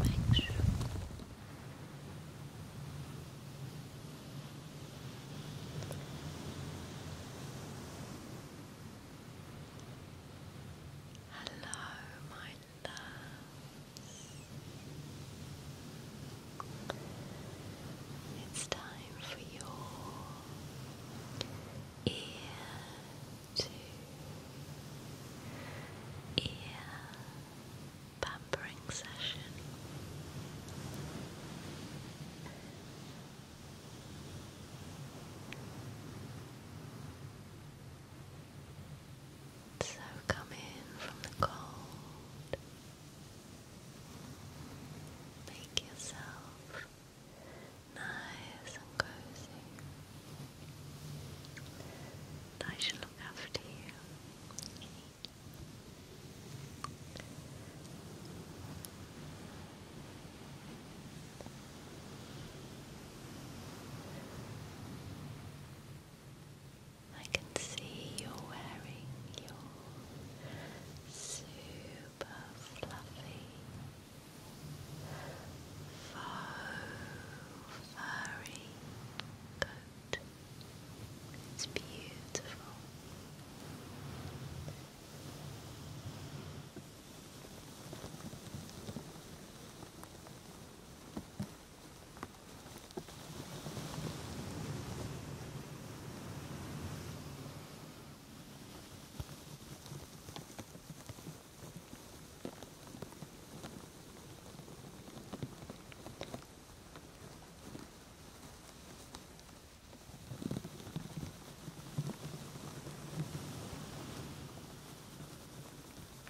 Make sure Hello, my loves. It's time for your ear to ear pampering session. So come in from the cold. Make yourself nice and cozy. I shall look after you. I can see you're wearing your suit super fluffy, faux furry coat. It's beautiful.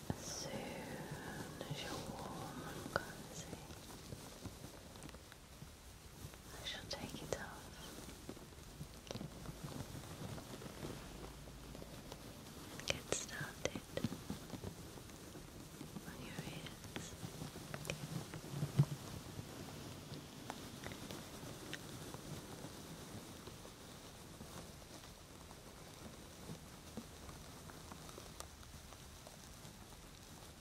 As soon as you're warm and cozy, I shall take it off. Get started on your ears.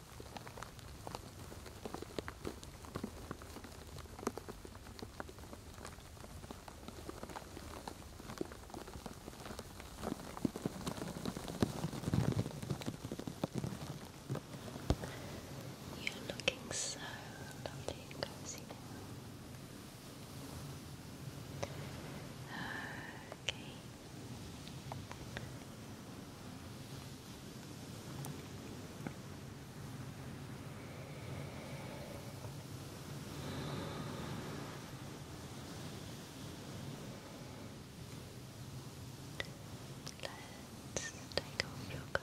You're looking so lovely and cozy now. Okay. Let's take off your coat.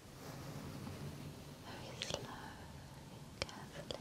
very slowly, carefully.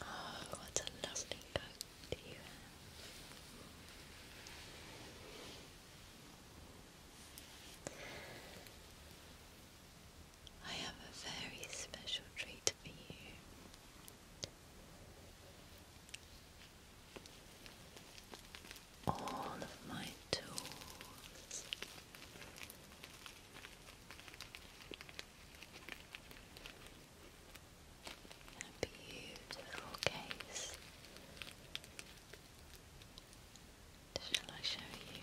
Oh, what a lovely coat I have a very special treat for you all of my toes. a beautiful case. Shall I show you?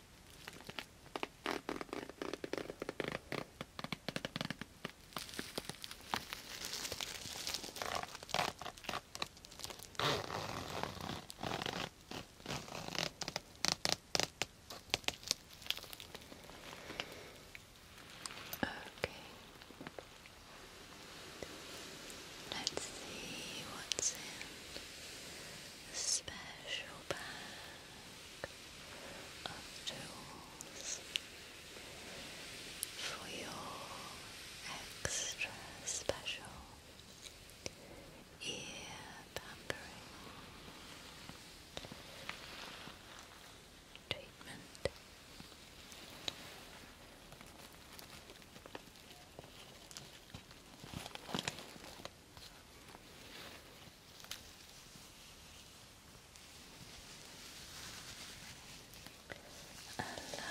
Okay. Let's see what's in the special bag of tools for your extra special ear pampering treatment. A lovely flowery sculpture. Now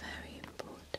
Very important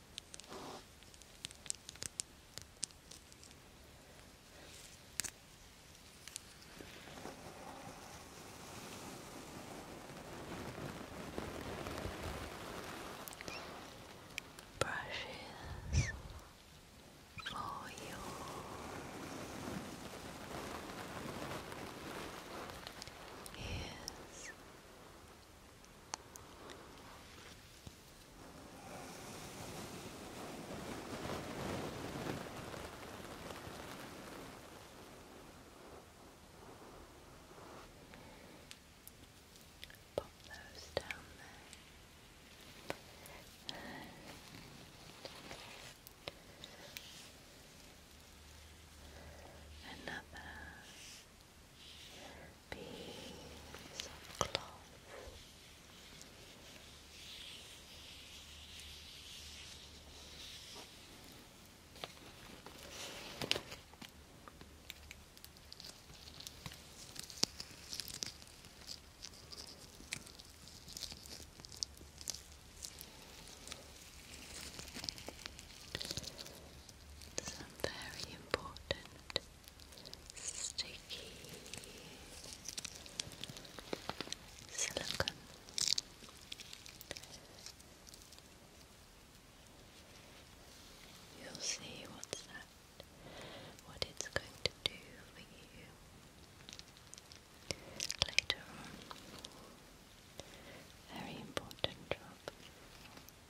brushes for you. Ears Pop those down there. Another piece of Some very important sticky silicone. You'll see what's that, what it's going to do for you later on. Very important job.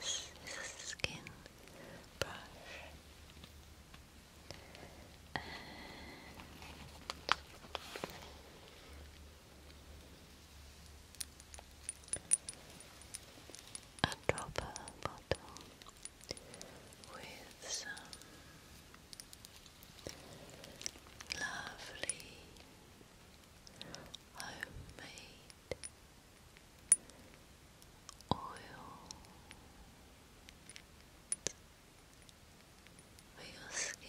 This is a skin brush. And a dropper bottle with some lovely homemade oil for your skin.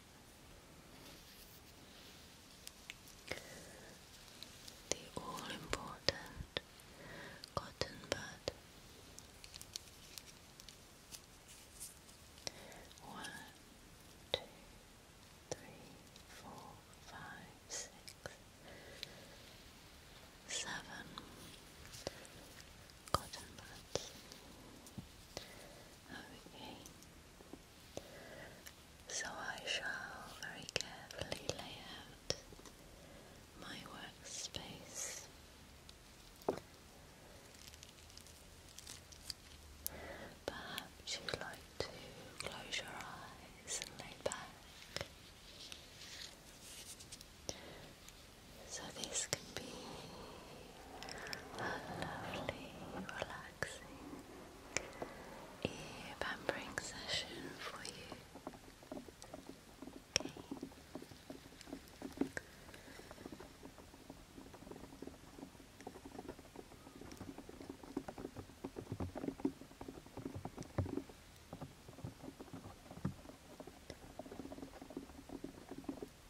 The all important cotton bud. One, two, three, four, five, six, seven cotton buds. Okay. So I shall very carefully lay out my workspace. Perhaps you'd like to close your eyes and lay back. So this can be a lovely, relaxing pampering session for you. Okay.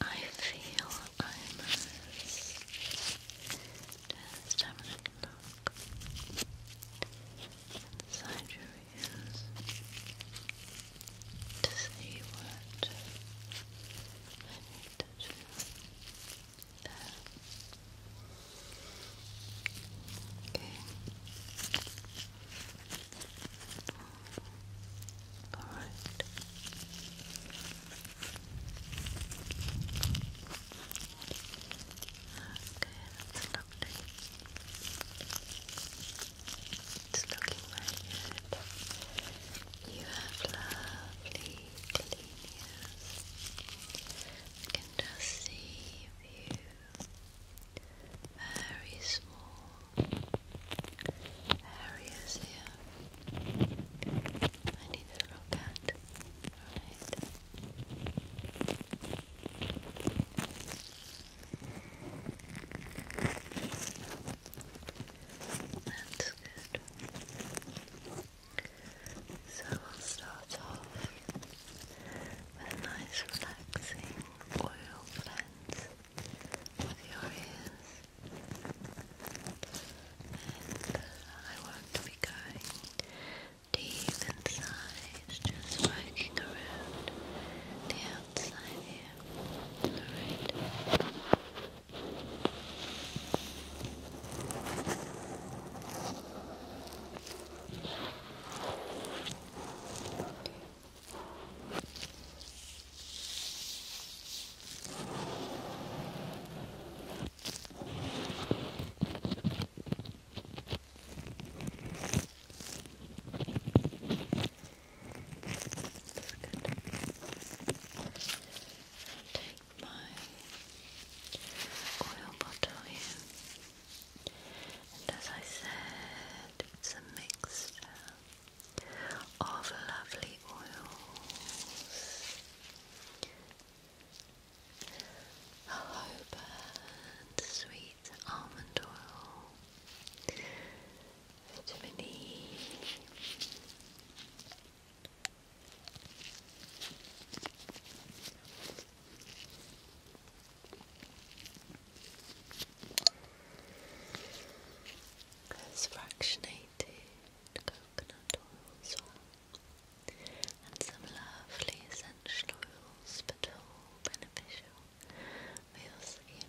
I feel I must just have a look inside your ears to see what I need to do Okay. All right. Okay, It's looking very good. You have lovely clean ears. can just see you. Very small areas here. I need to look at. That's good. So we'll start off with a nice relaxing oil cleanse with your ears. And I won't be going deep inside, just working around the outside here. Alright. Okay. Take my oil bottle here, and as I said, it's a mixture of lovely oils. Hello Bird, sweet almond oil, vitamin E. fractionated coconut oil as and some lovely essential oils, but all beneficial for your skin.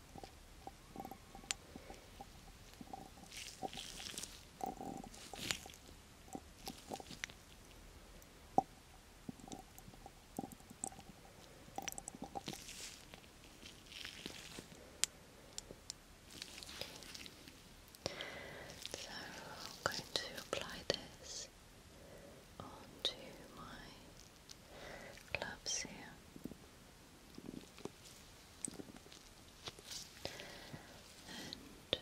So I'm going to apply this onto my Loves here. And it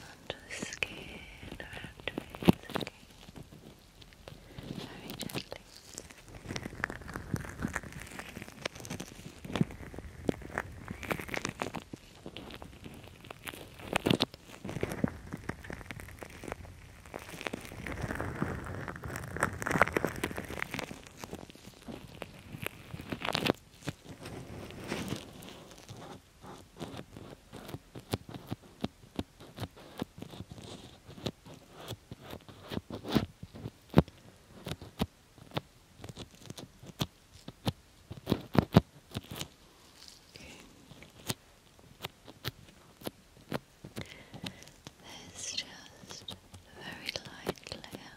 onto the skin around your face, Very gently. There's just a very light layer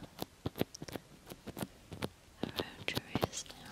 around your ears now.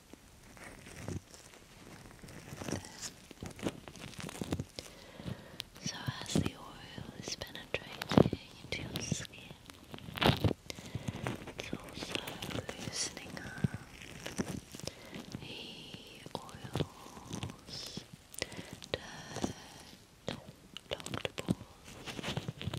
So as the oil is penetrating into your skin, it's also loosening up the oils, dirt, dog balls, kind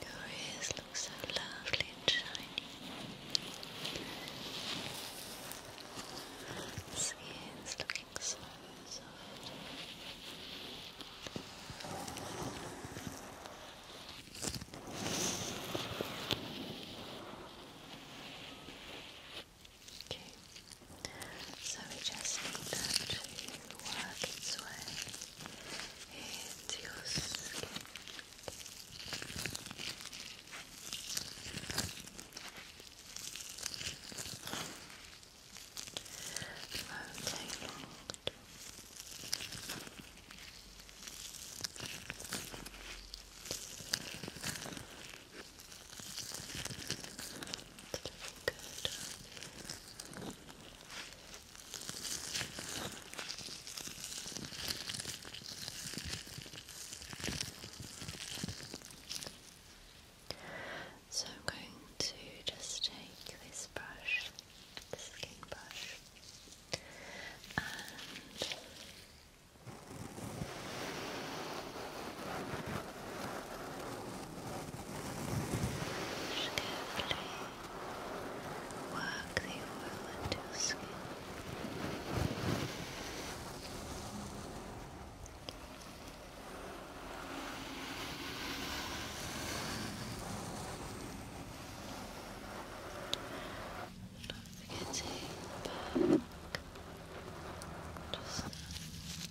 Your ears look so lovely and shiny. This ear's looking so soft. Okay. So we just need that to work its way into your skin. Okay, Lord good. So I'm going to just take this brush, the skin brush, and just carefully work the oil into skin. not forget back. Just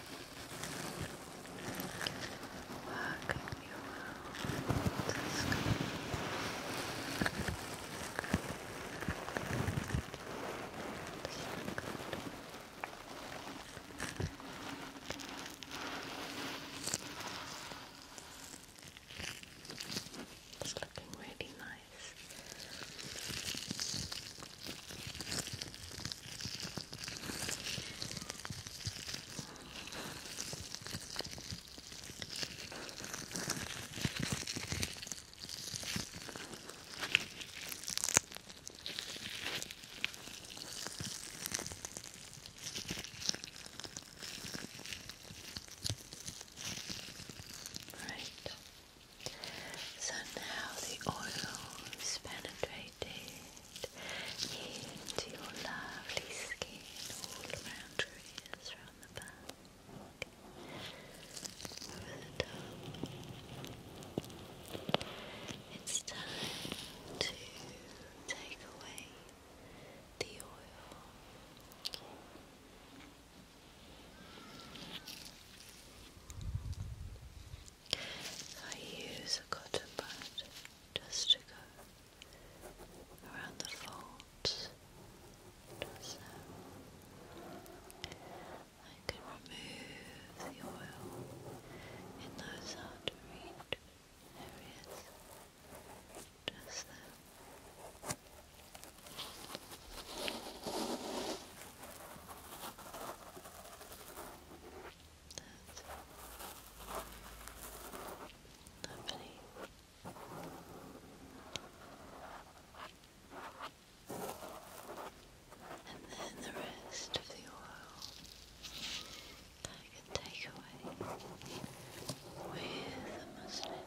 Working you out to sleep. It's looking really nice. Right. So now the oil is penetrating into your lovely skin all around your ears, around the back, over the top. It's time to take away the oil. I use a cotton bud just to go around the folds. So I can remove the oil in those hard to reach areas. Just there. That's lovely. And then the rest of the oil I can take away with the muslin.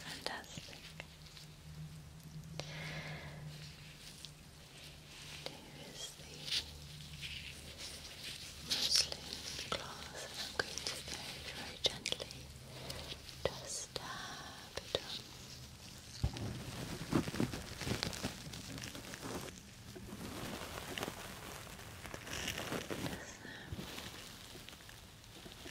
Fantastic. There is the muslin cloth, and I'm going to very, very gently just it on. That's lovely.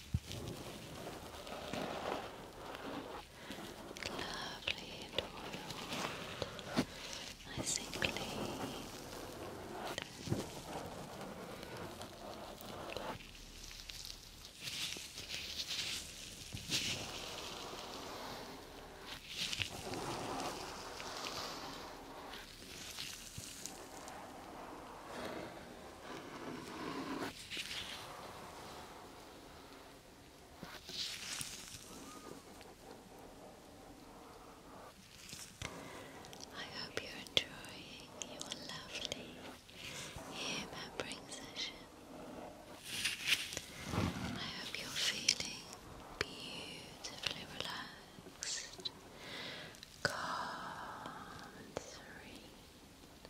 Lovely and oiled, nice and I hope you're enjoying your lovely ear membering session. I hope you're feeling beautifully relaxed, calm and serene.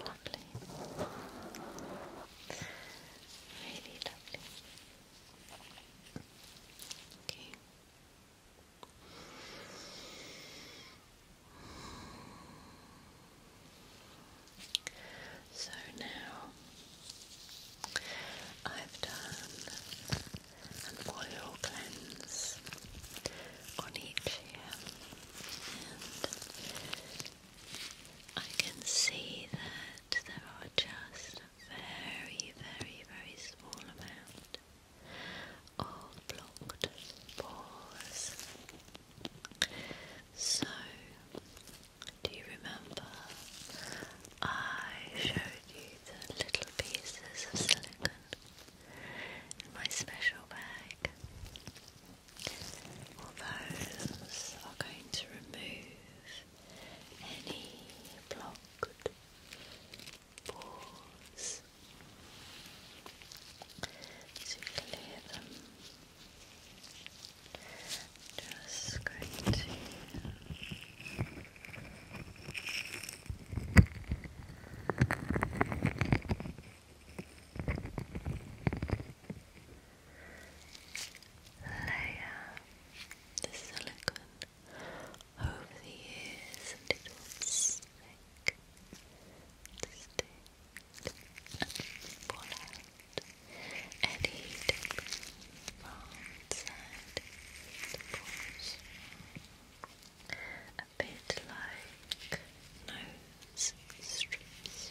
Lovely. Really lovely. Okay. So now I've done an oil cleanse on each ear, and I can see that there are just very, very, very small amount of blocked pores. So, do you remember I showed you the little pieces of silicone in my special bag. those are going to remove any blocked pores to clear them. Just going to layer the silicone over the ears and it will stick, stick and pull out from side to portion a bit like nose strips.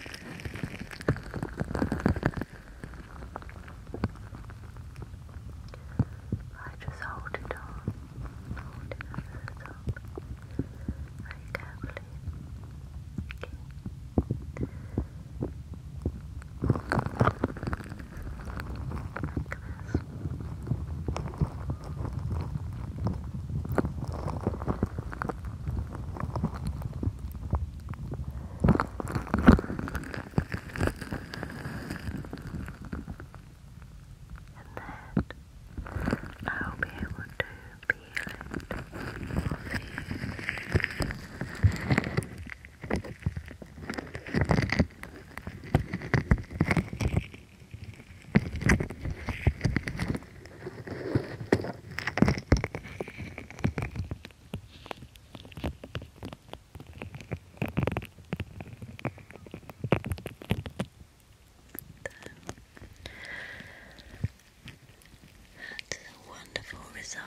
I just hold it on, hold it over the top very carefully. Okay. Like this. Okay then I'll be able to feel it. That's a wonderful result.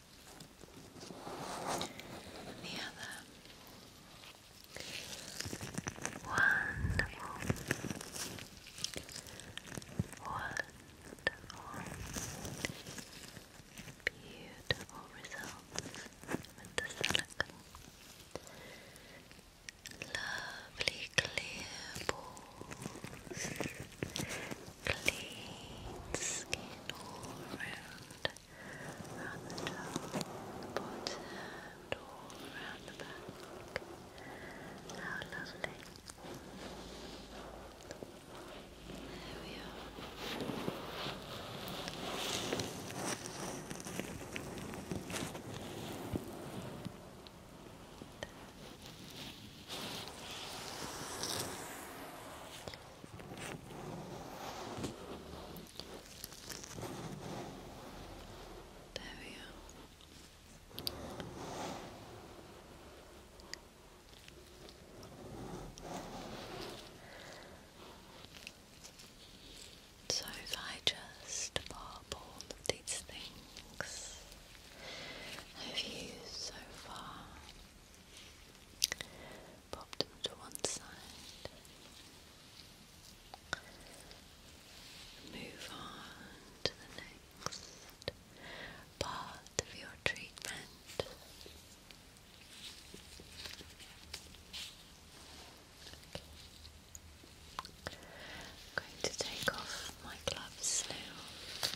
and the other. Wonderful. Wonderful. Beautiful results with Lovely clear balls clean skin all around, around the and all around the back. How lovely. There we are. There we So if I just pop all of these things have used so far Pop them to one side. Move on to the next part of your treatment. I'm going to take off my gloves now.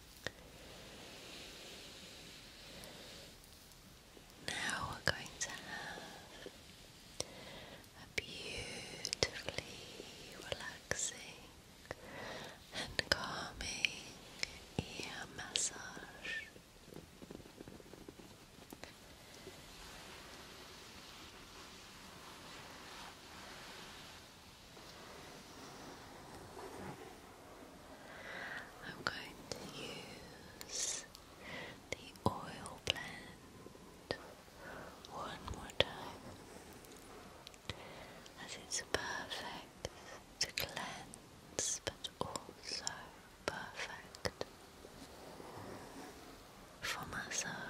Now we're going to have a beautifully relaxing and calming ear massage. I'm going to use the oil blend one more time as it's perfect to cleanse but also perfect for massage.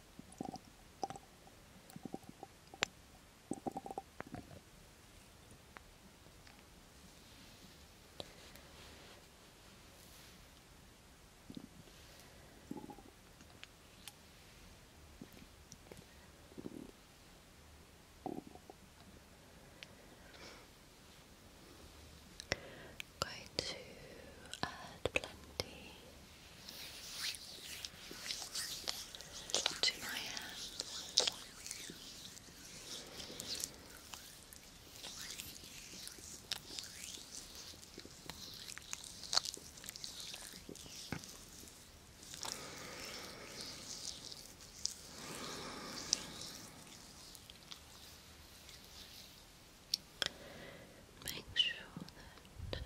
I'm going to add plenty to my Make sure that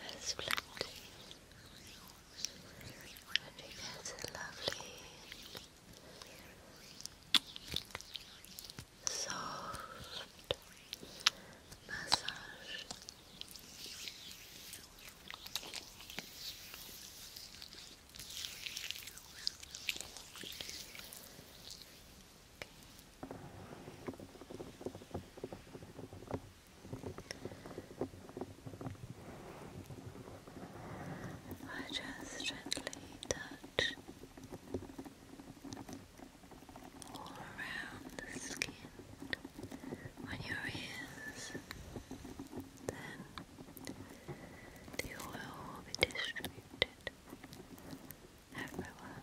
that's plenty. And you get a lovely soft massage. I just gently touch all around the skin on your ears. Then the oil will be distributed everywhere.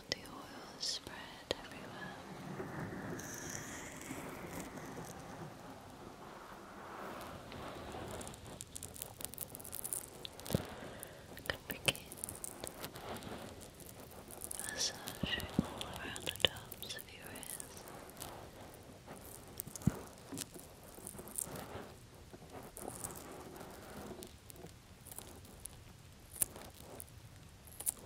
felt the oil spread everywhere. I could begin massaging all around the tops of your ears.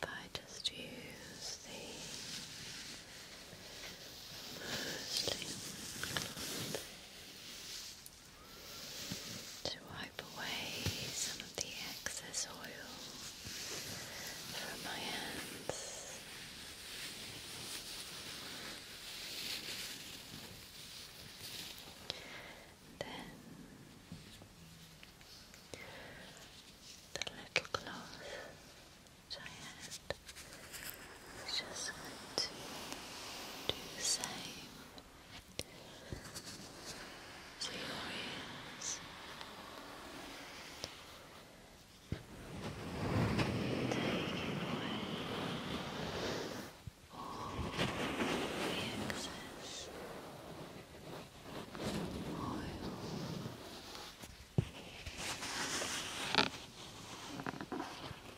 If I just use the Mostly to wipe away some of the excess oil from my hands. Then the little cloth I had it's just to do the same to your ears. Taking away all the excess oil.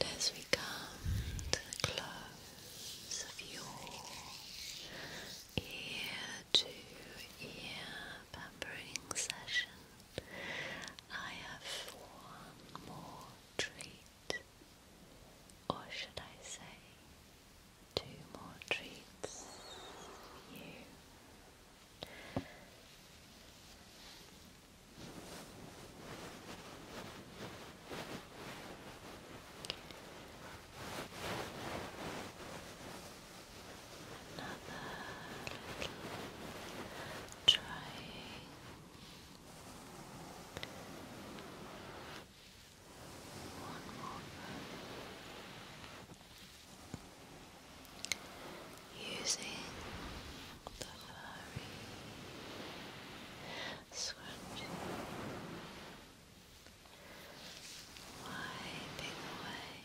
And as we come to the close of your ear to ear pampering session, I have one more treat or should I say, two more treats for you. Another little triangle one more Using the furry scrunchie, wiping away.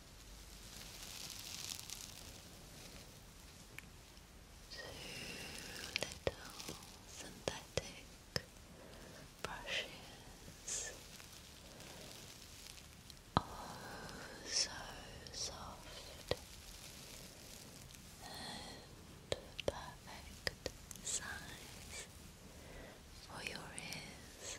Two little synthetic brushes. Oh, so soft and perfect size for your ears.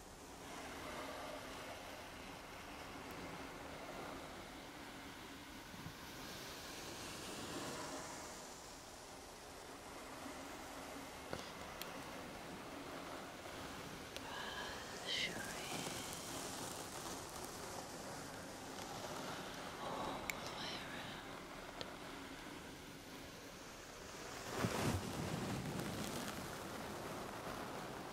Brush your hair all the way around.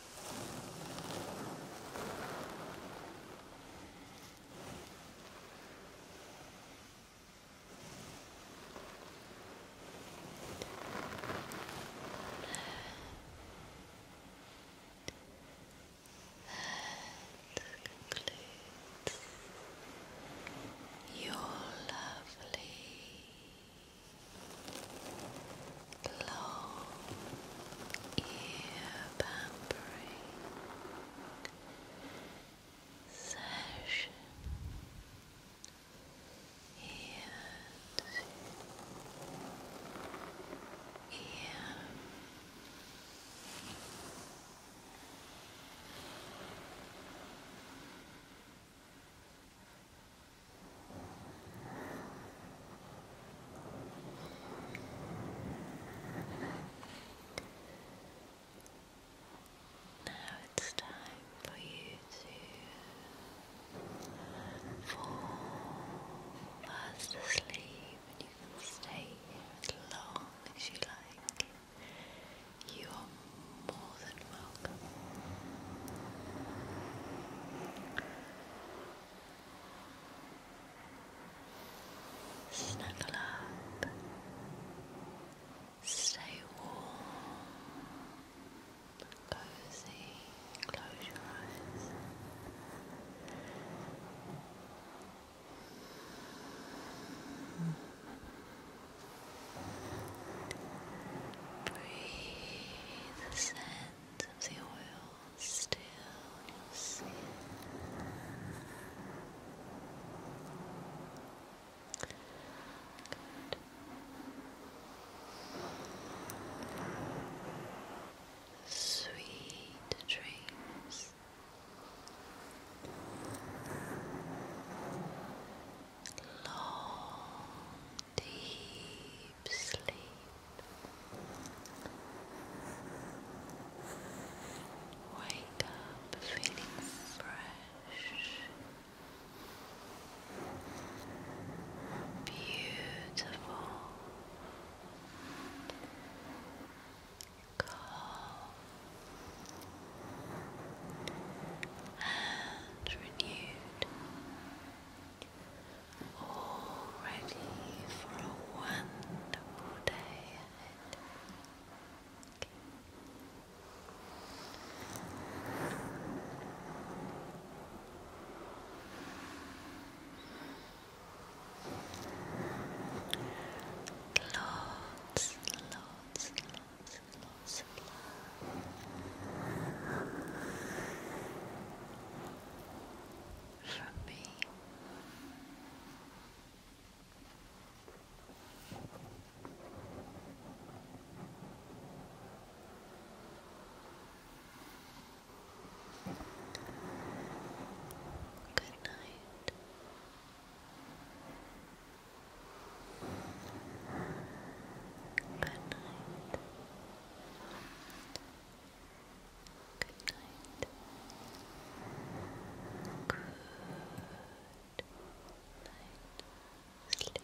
That concludes your lovely Low ear pampering session here to now it's time for you to fall fast asleep, and you can stay here as long as you like. You are more than welcome. Snuggle up, stay warm, cozy, close your eyes. Breathe the the oil still you Sweet dreams. Long, deep sleep. Wake up feeling fresh, beautiful, calm, and renewed all ready for a wonderful day ahead. Okay. Lots, lots, lots, lots from me. Good night. Good night. Good night. Good night. Sleep tight. Sleep